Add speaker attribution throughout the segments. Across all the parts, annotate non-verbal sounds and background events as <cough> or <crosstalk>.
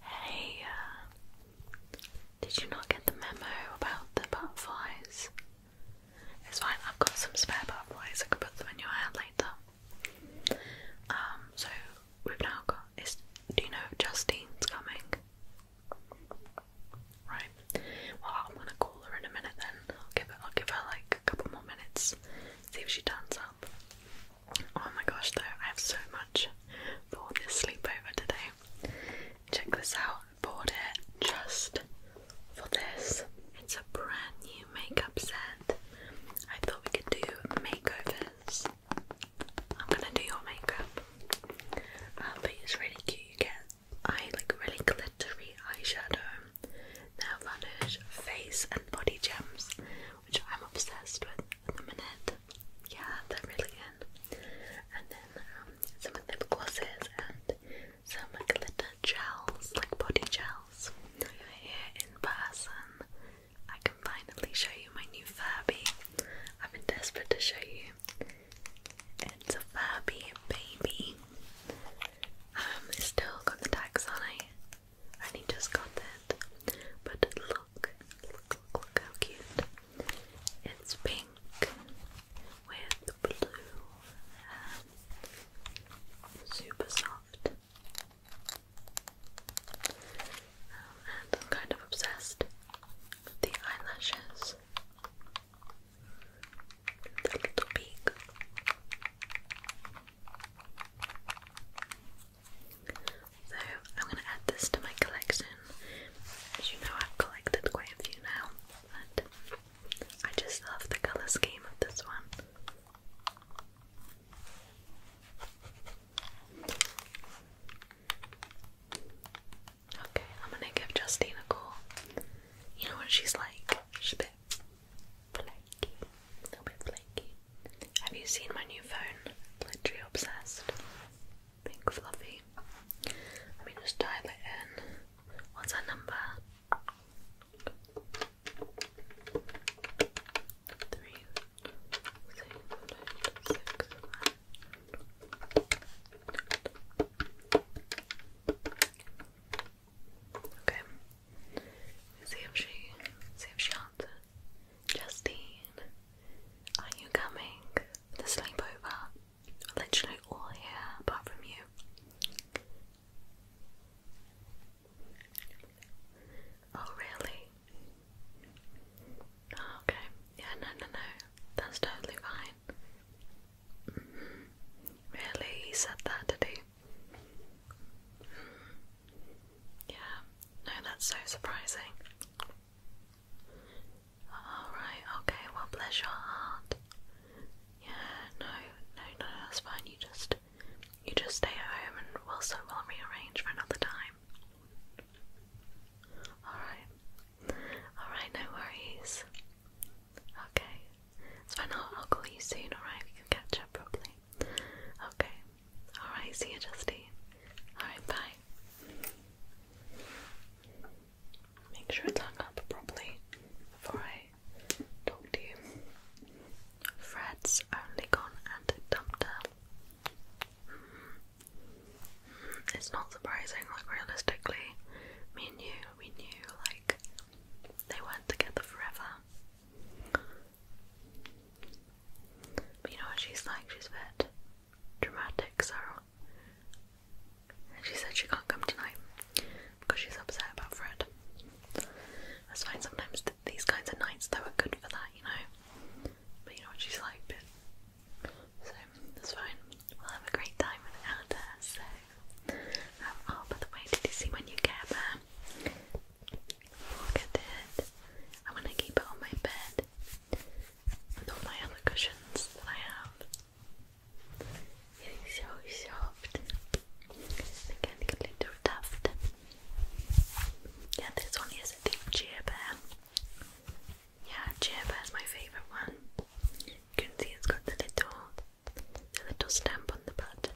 Speaker 1: Hey, uh, did you not get the memo about the butterflies? It's fine, I've got some spare butterflies, I can put them in your hand later. Um, so we've now got, do you know Justine's coming? Right, well I'm gonna call her in a minute then, I'll give her like a couple more minutes, see if she turns up. Oh my gosh, though, I have so much for this sleepover today. Check this out, bought it just for this. It's a brand new makeup set. I thought we could do makeovers. I'm gonna do your makeup. I uh, but it's really cute. You get eye like really glittery eyeshadow, nail varnish, face and body gems which I'm obsessed with at the minute. Yeah, they're really in. And then um, some lip glosses and some glitter gels, like body gels. Now here in person, I can finally show you my new Furby. I've been desperate to show you. It's a Furby baby. Um, it's still got the tags on it and he just got that. But look, look, look how cute. It's pink with blue. Um, super soft. Um, and I'm kind of obsessed with the eyelashes. The little peak. So I'm going to add this to my collection. As you know, I've collected quite a few now, but I just love the colour scheme of this one. Okay, I'm gonna give Justine a call. You know what she's like? She a bit flaky, a little bit flaky. Have you seen my new phone? Literally obsessed. Pink fluffy. Let me just dial it in. What's our number? Three, six, six, five. Okay. See if she see if she answers. Justine, are you coming for the sleepover? Literally all here apart from you. Oh really? Oh, okay. Yeah, no, no, no. That's totally fine. Mm-hmm. Really, he said that, did he? Yeah, no, that's so surprising. Alright, okay, well, bless your heart. Yeah, no, no, no, that's fine. You just, you just stay at home and we'll, so we'll rearrange for another time. Alright. Alright, no worries. Okay, it's I'll, I'll call you soon, alright? We can catch up properly. Okay. Alright, see you, Justy. Alright, bye. Make sure it's hung up properly before I talk to you. Fred's only gone and dumped her. Hmm. It's not surprising, like, realistically, me and you, we knew, like, they weren't together forever you know what she's like? She's a bit dramatic, Sarah. And she said she can't come tonight because she's upset about Fred. That's fine, sometimes these kinds of nights though are good for that, you know? But you know what she's like, but. So, that's fine. We'll have a great time without her, so. Um, oh, by the way, did you see when you get there? Look at it. I'm to keep it on my bed with all my other cushions that I have. It's so soft. Again, a little tuft. Yeah, this one is the Cheer Bear. Yeah, Cheer is my favourite one. You can see it's got the little, the little stamp on the button.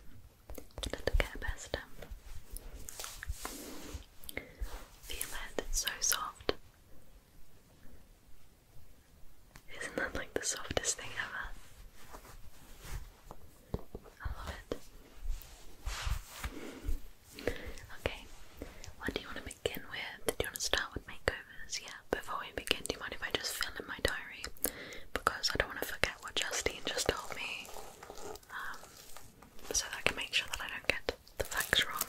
Speaker 1: Little Care Bear stamp. Feel it, it's so soft. Isn't that like the softest thing ever? I love it. Okay, what do you want to begin with? Do you want to start with makeovers? Yeah, before we begin, do you mind if I just fill in my diary because I don't want to forget what Justine just told me, um, so that can make sure that I don't get the facts wrong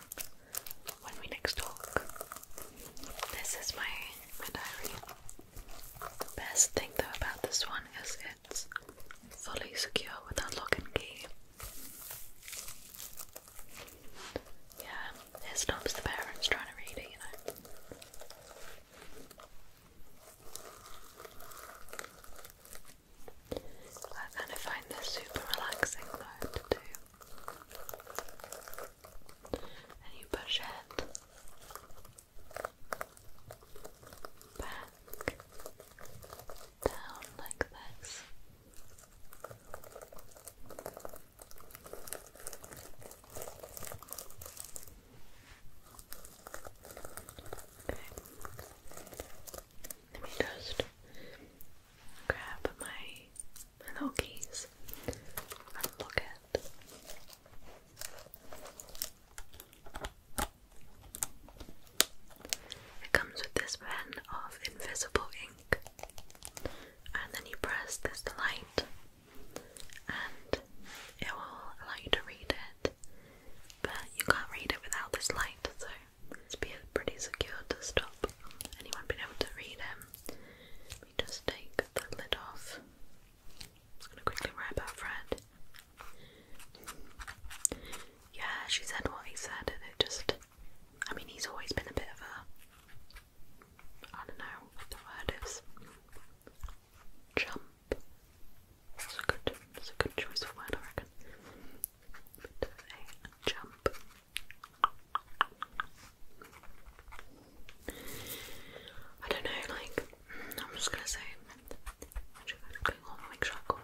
Speaker 1: when we next talk. This is my my diary. best thing though about this one is it's fully secure without lock and key. Yeah, it stops the parents trying to read it, you know. I kind of find this super relaxing though to do. And you push it back down like this. Let me just grab my, little keys and look at. It comes with this pen of invisible ink, and then you press this light and it will allow you to read it, but you can't read it without this light, so it's pretty secure to stop anyone being able to read it. Let me just take the lid off. I'm just going to quickly write about Fred. Yeah, she said what he said, and it just. I mean, he's always been a bit of a. I don't know the word is. Jump. That's a good, that's a good choice of word, I reckon. jump. I don't know, like, I'm just gonna say, going on, make sure I call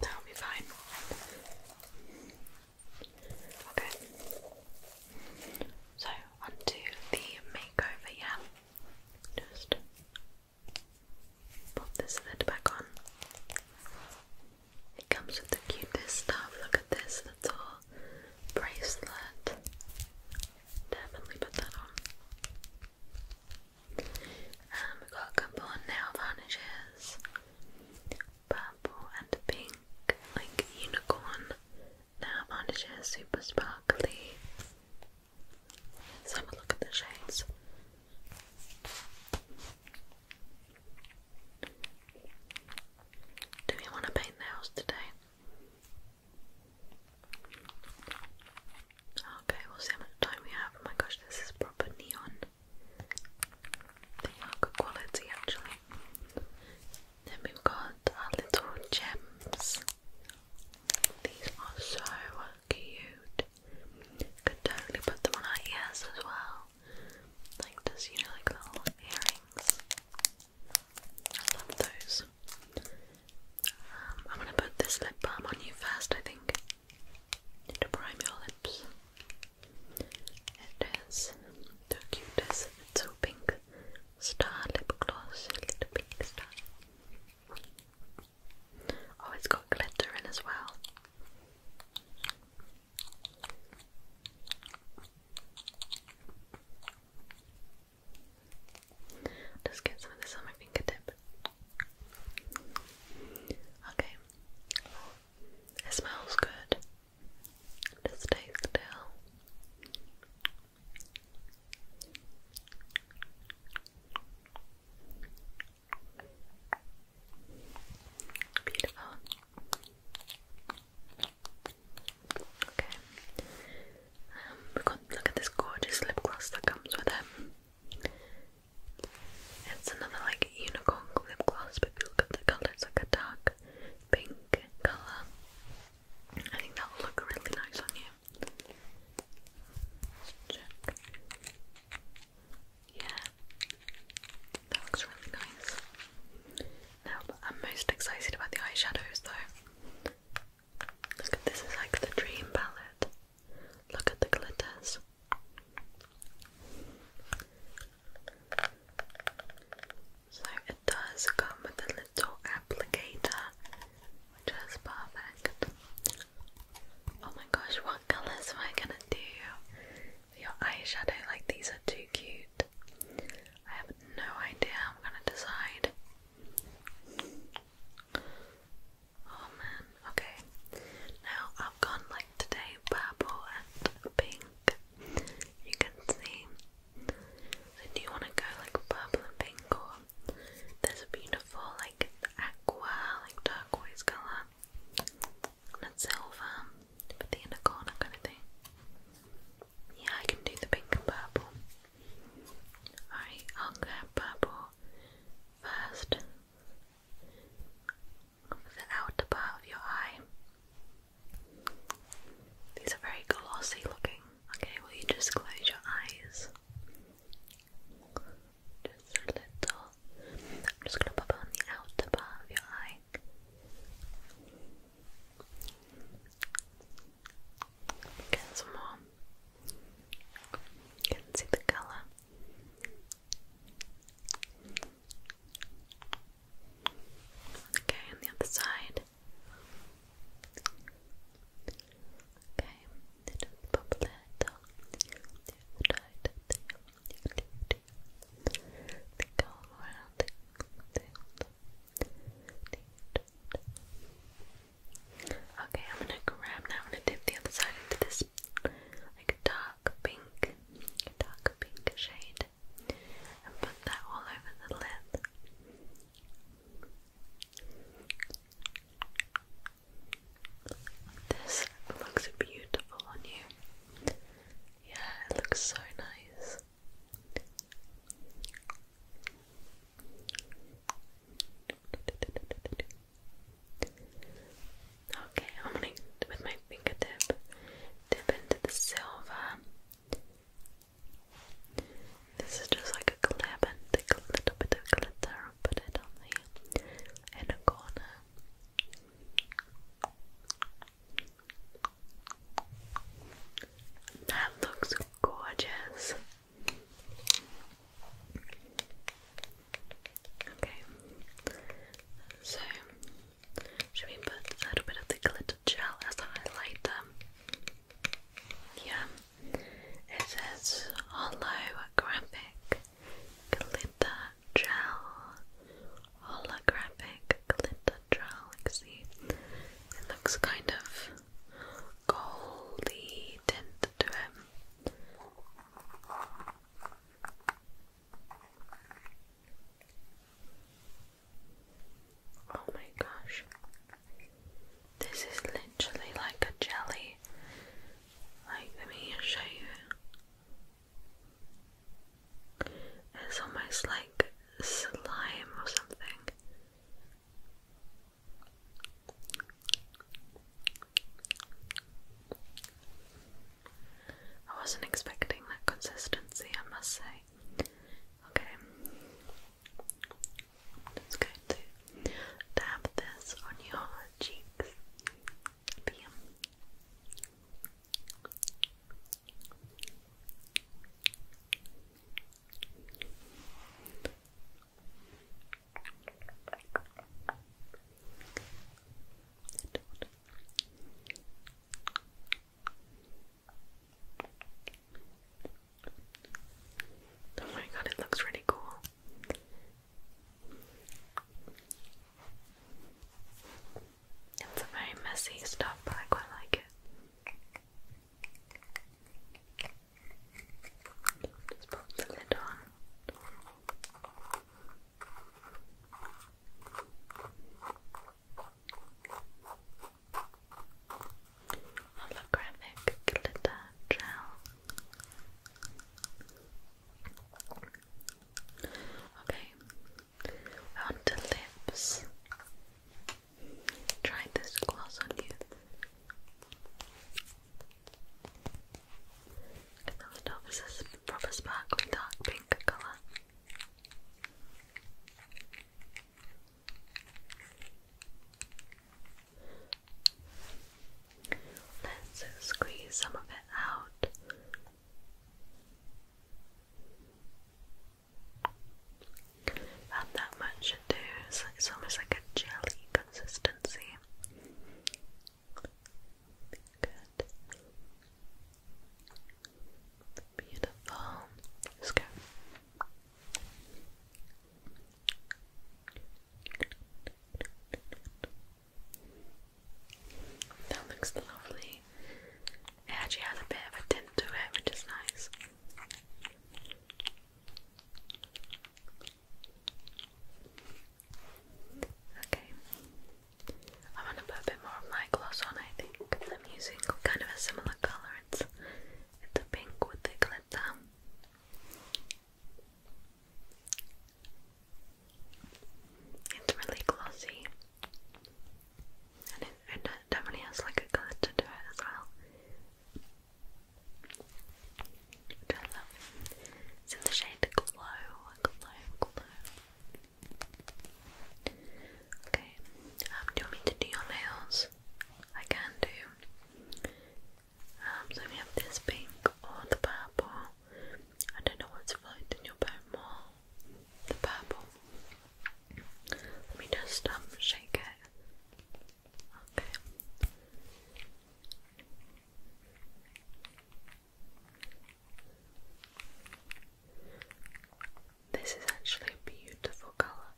Speaker 1: that'll be fine. Okay. So, onto the makeover, yeah. Just pop this lid back on. It comes with the cutest stuff. Look at this little bracelet. Definitely put that on. And um, we got a couple of nail varnishes, purple and pink, like unicorn nail varnishes, super sparkly. Let's have a look at the shades. Do we want to paint nails today? Okay, we'll see how much time we have. Oh my gosh, this is proper neon. They are good quality actually. Then we've got our little gems. These are so cute. Could totally put them on our ears as well. Like this, you know, like little earrings. I love those. Um, I'm gonna put this lip balm on you first, I think to prime your lips. It is the cutest little pink star lip gloss, little pink star. Oh, it's got glitter in as well. Just get some of this on my fingertip. Okay. it smells good. Just stay still. Beautiful. Okay. Um, look at this gorgeous lip gloss that comes with it. It's another like unicorn lip gloss, but look at the colour, like a dark pink colour. I think that'll look really nice on you. Yeah, that looks really nice. Now, I'm most excited about the eyeshadows though. Look this, is like the dream palette. Look at the glitters. So it does come with a little applicator, which perfect. Oh my gosh, what colours am I gonna do your eyeshadow? Like these are too cute. I have no idea I'm gonna decide. Oh man, okay. Now I've gone like today purple and pink. You can see. So do you want to go like purple and pink or there's a beautiful like aqua, like turquoise colour and silver with the unicorn kind of thing. Yeah, I can do the pink and purple. Alright, I'll go purple first the outer part of your eye. These are very glossy looking. Okay, will you just close your eyes? Just a little. I'm just going to pop on the outer part of your eye. Get some more. You can see the color. Okay, on the other side. Okay, then pop a little. The other side. go around. Okay, I'm gonna grab now. I'm gonna dip the other side into this like dark pink, dark pink shade, and put that all over the lid. This looks beautiful on you. Yeah, it looks so nice. Okay, I'm gonna with my fingertip dip into the silver. This is just like a clip and take a little bit of glitter and put it on the inner corner. That looks gorgeous. Okay, so should we put a little bit of the glitter gel as highlighter? Yeah, it says holographic glitter gel. Holographic glitter gel. see, it looks kind of goldy tint to it. Oh my gosh. This is literally like a jelly. Like, let me show you. It's almost like slime or something. I wasn't expecting that consistency, I must say. Okay. I'm just to dab this on your cheeks. Oh my god, it looks really cool. It's a very messy stuff, but I quite like it. Just pop the lid on. Holographic glitter gel. Okay, on lips. Try this gloss on you. And then the top is this proper sparkly dark pink colour. Let's squeeze some of it out add that much into so it's almost like a jelly consistency. Good. Beautiful. Let's go. That looks lovely. actually has a bit of a tint to it, which is nice. Okay. I'm gonna put a bit more of my gloss on, I think. I'm using kind of a similar colour. It's it's a pink with the glitter. It's really glossy. And it definitely has like a glitter to it as well. Which the shade Glow, Glow, Glow. Okay, um, do you want me to do your nails? I can do. Um, so we have this pink or the purple. I don't know what's floating your boat more. The purple. Let me just um shake it. This is actually a beautiful colour.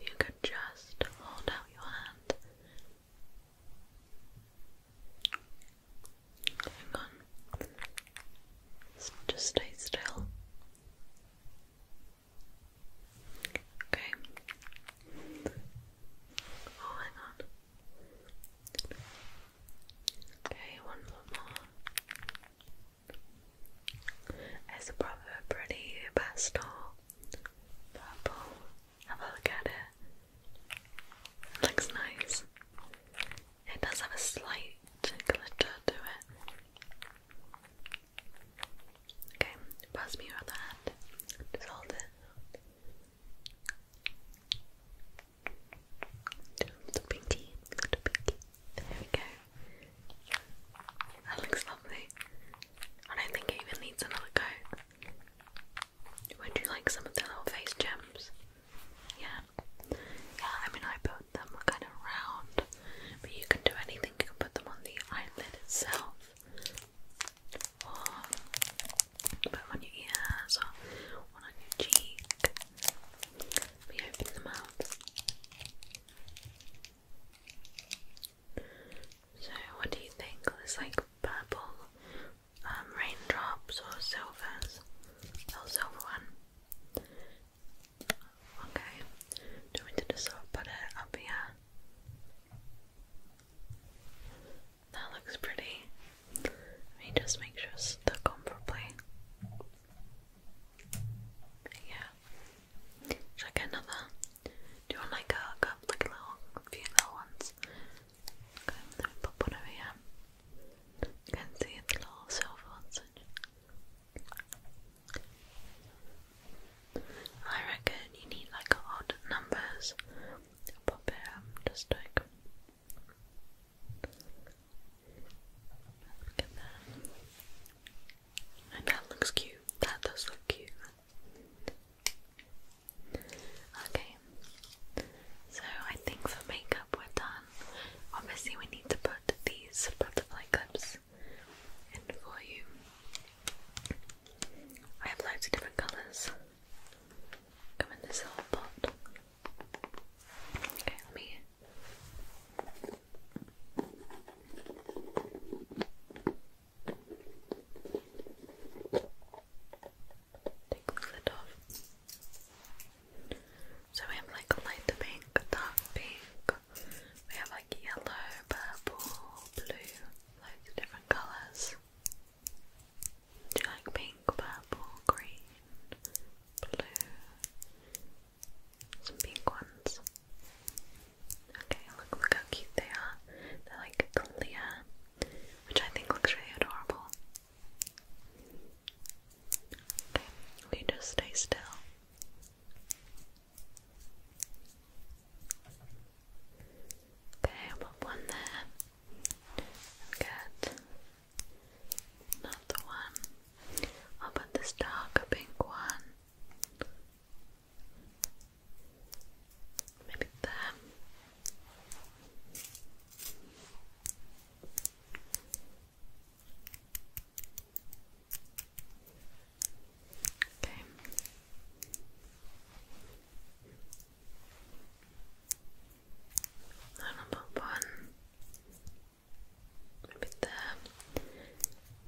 Speaker 1: you could just hold out your hand. Hang on. Just stay still. Okay. Oh, hang on. Okay, one more. It's a proper pretty pastel purple. Have a look at it. it. Looks nice. It does have a slight glitter to it. Okay, pass me your other hand. Just hold it. The pinky, the pinky. There we go. That looks lovely. I don't think it even needs another coat. Would you like some of the little face gems? Yeah. Yeah, I mean I put them kind of round but you can do anything, you can put them on the eyelid itself, or put on your ears, or on your cheek. We open them up. So, what do you think? There's like purple um, raindrops or silvers, or silver one. Okay, do we need to sort put it up here? That looks pretty. Let me just make sure it's stuck Yeah. Should I get another? Do you want like a like a little, few little ones? Okay, let me pop one over here. You can see the little silver ones. I reckon you need like odd numbers. Pop it up just like look at that. And that looks cute. That does look cute. Okay. So I think for makeup we're done. Obviously we need to put these butterfly clips this for you. I have loads of different colours. Come in this little pot. Okay, let me. Take the lid off. So we have like light pink, dark pink, we have like yellow, purple, blue, loads of different colours. Do you like pink, purple, green, blue? Some pink ones. Okay, look, look how cute they are. They're like clear, which I think looks really adorable. Okay, we just stay still. Okay, I'll put one there. Good. Another one. I'll put this darker pink one. Maybe there. Okay. I one. Maybe the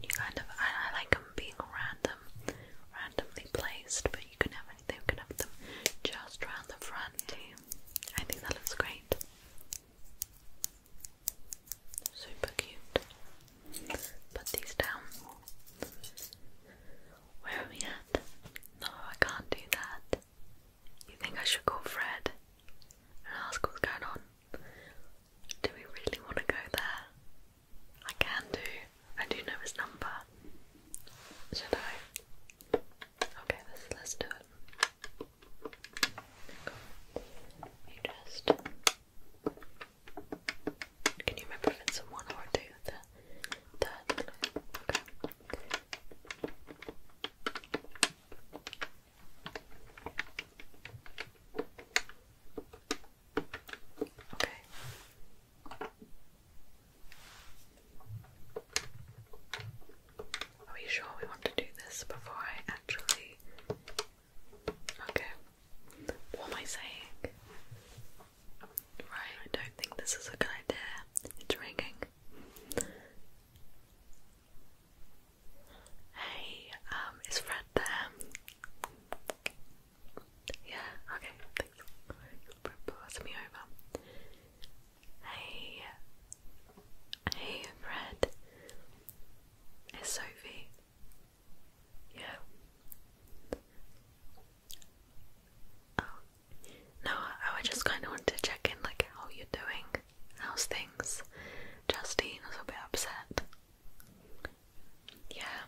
Speaker 1: you kind of I like them being random, randomly placed, but you can have anything. You can have them just around the front. I think that looks great. Super cute. Put these down. Where are we at? No, I can't do that. You think I should call Fred and ask what's going on? Do we really want to go there? I can do. I do know his number. Should I? Okay, let's, let's do it. You just can you remember if one or two? Okay. Are we sure we want to do this before I actually. Okay. What am I saying? Right, I don't think this is a good idea. It's ringing. Hey, um, is Fred there? Yeah, okay, thanks. Pass me over. Hey, hey, Fred. It's Sophie. Yeah. Oh. No, I, just kind of wanted to check in, like, how you're doing. How's things? Justine was a bit upset. Yeah.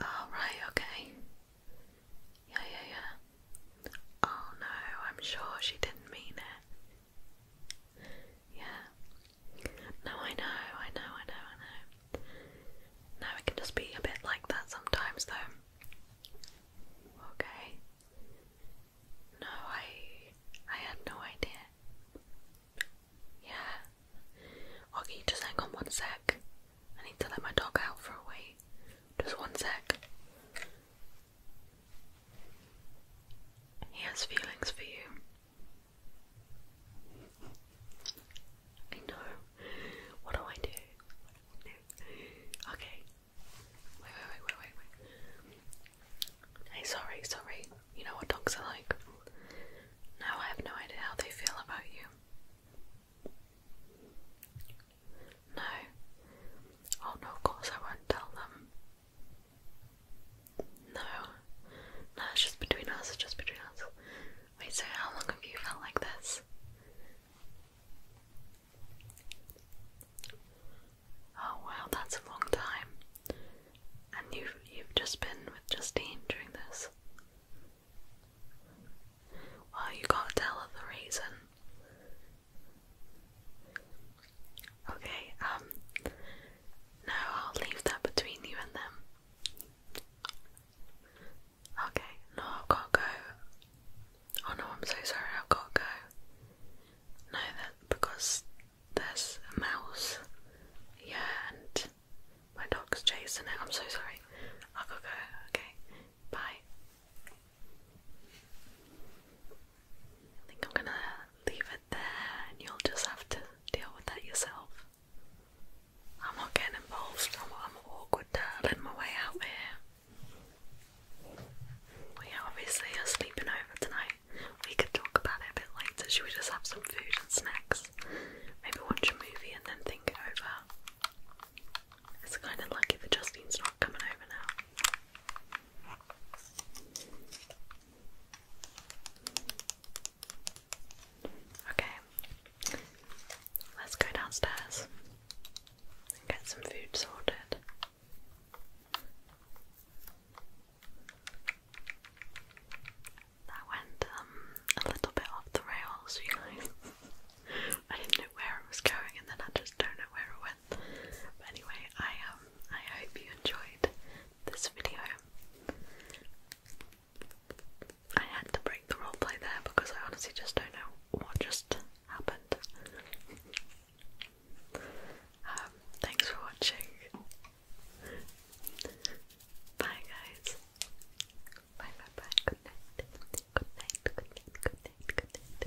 Speaker 1: Oh, okay. Yeah, yeah, yeah. Oh no, I'm sure she didn't mean it. Yeah. No, I know, I know, I know, I know. No, it can just be a bit like that sometimes, though. Okay. No, I, I had no idea. Yeah. Okay, just hang on one sec. I need to let my dog out for a wee. Just one sec. He has feelings for you. I know. What do I do? Okay. Wait, wait, wait, wait, wait, wait. Hey, sorry, sorry. You know what dogs are like. Now I have no idea how they feel about you. No. Oh no, of course I won't tell them. No. No, it's just between us, it's just between us. Wait, so how long have you felt like this? Oh wow, that's a long time. And you've you've just been with Justine during this. Well, you can't tell her the reason. Okay, um, no, I'll leave that between you and them. Okay, no, I've got to go. Oh no, I'm so sorry, I've got to go. No, that because there's a mouse. Yeah, and my dog's chasing it. I'm so sorry. I've got to go. Okay, bye. I think I'm gonna leave it there and you'll just have to deal with that yourself. I'm not getting involved, I'm, I'm an awkward dad in my way out here. We obviously are sleeping over tonight. We could talk about it a bit later. Should we just have some food and snacks? Maybe watch a movie and then think it over. It's kind of lucky that Justine's not coming over now. Okay, let's go downstairs and get some food sorted. That went um, a little bit off the rails, you guys. <laughs> I didn't know where it was going, and then I just don't know where it but anyway, I um I hope you enjoyed this video. I had to break the roleplay there because I honestly just don't know what just happened. Um, thanks for watching. Bye guys. Bye bye bye. Good night. Good night. Good night. Good night. Good night.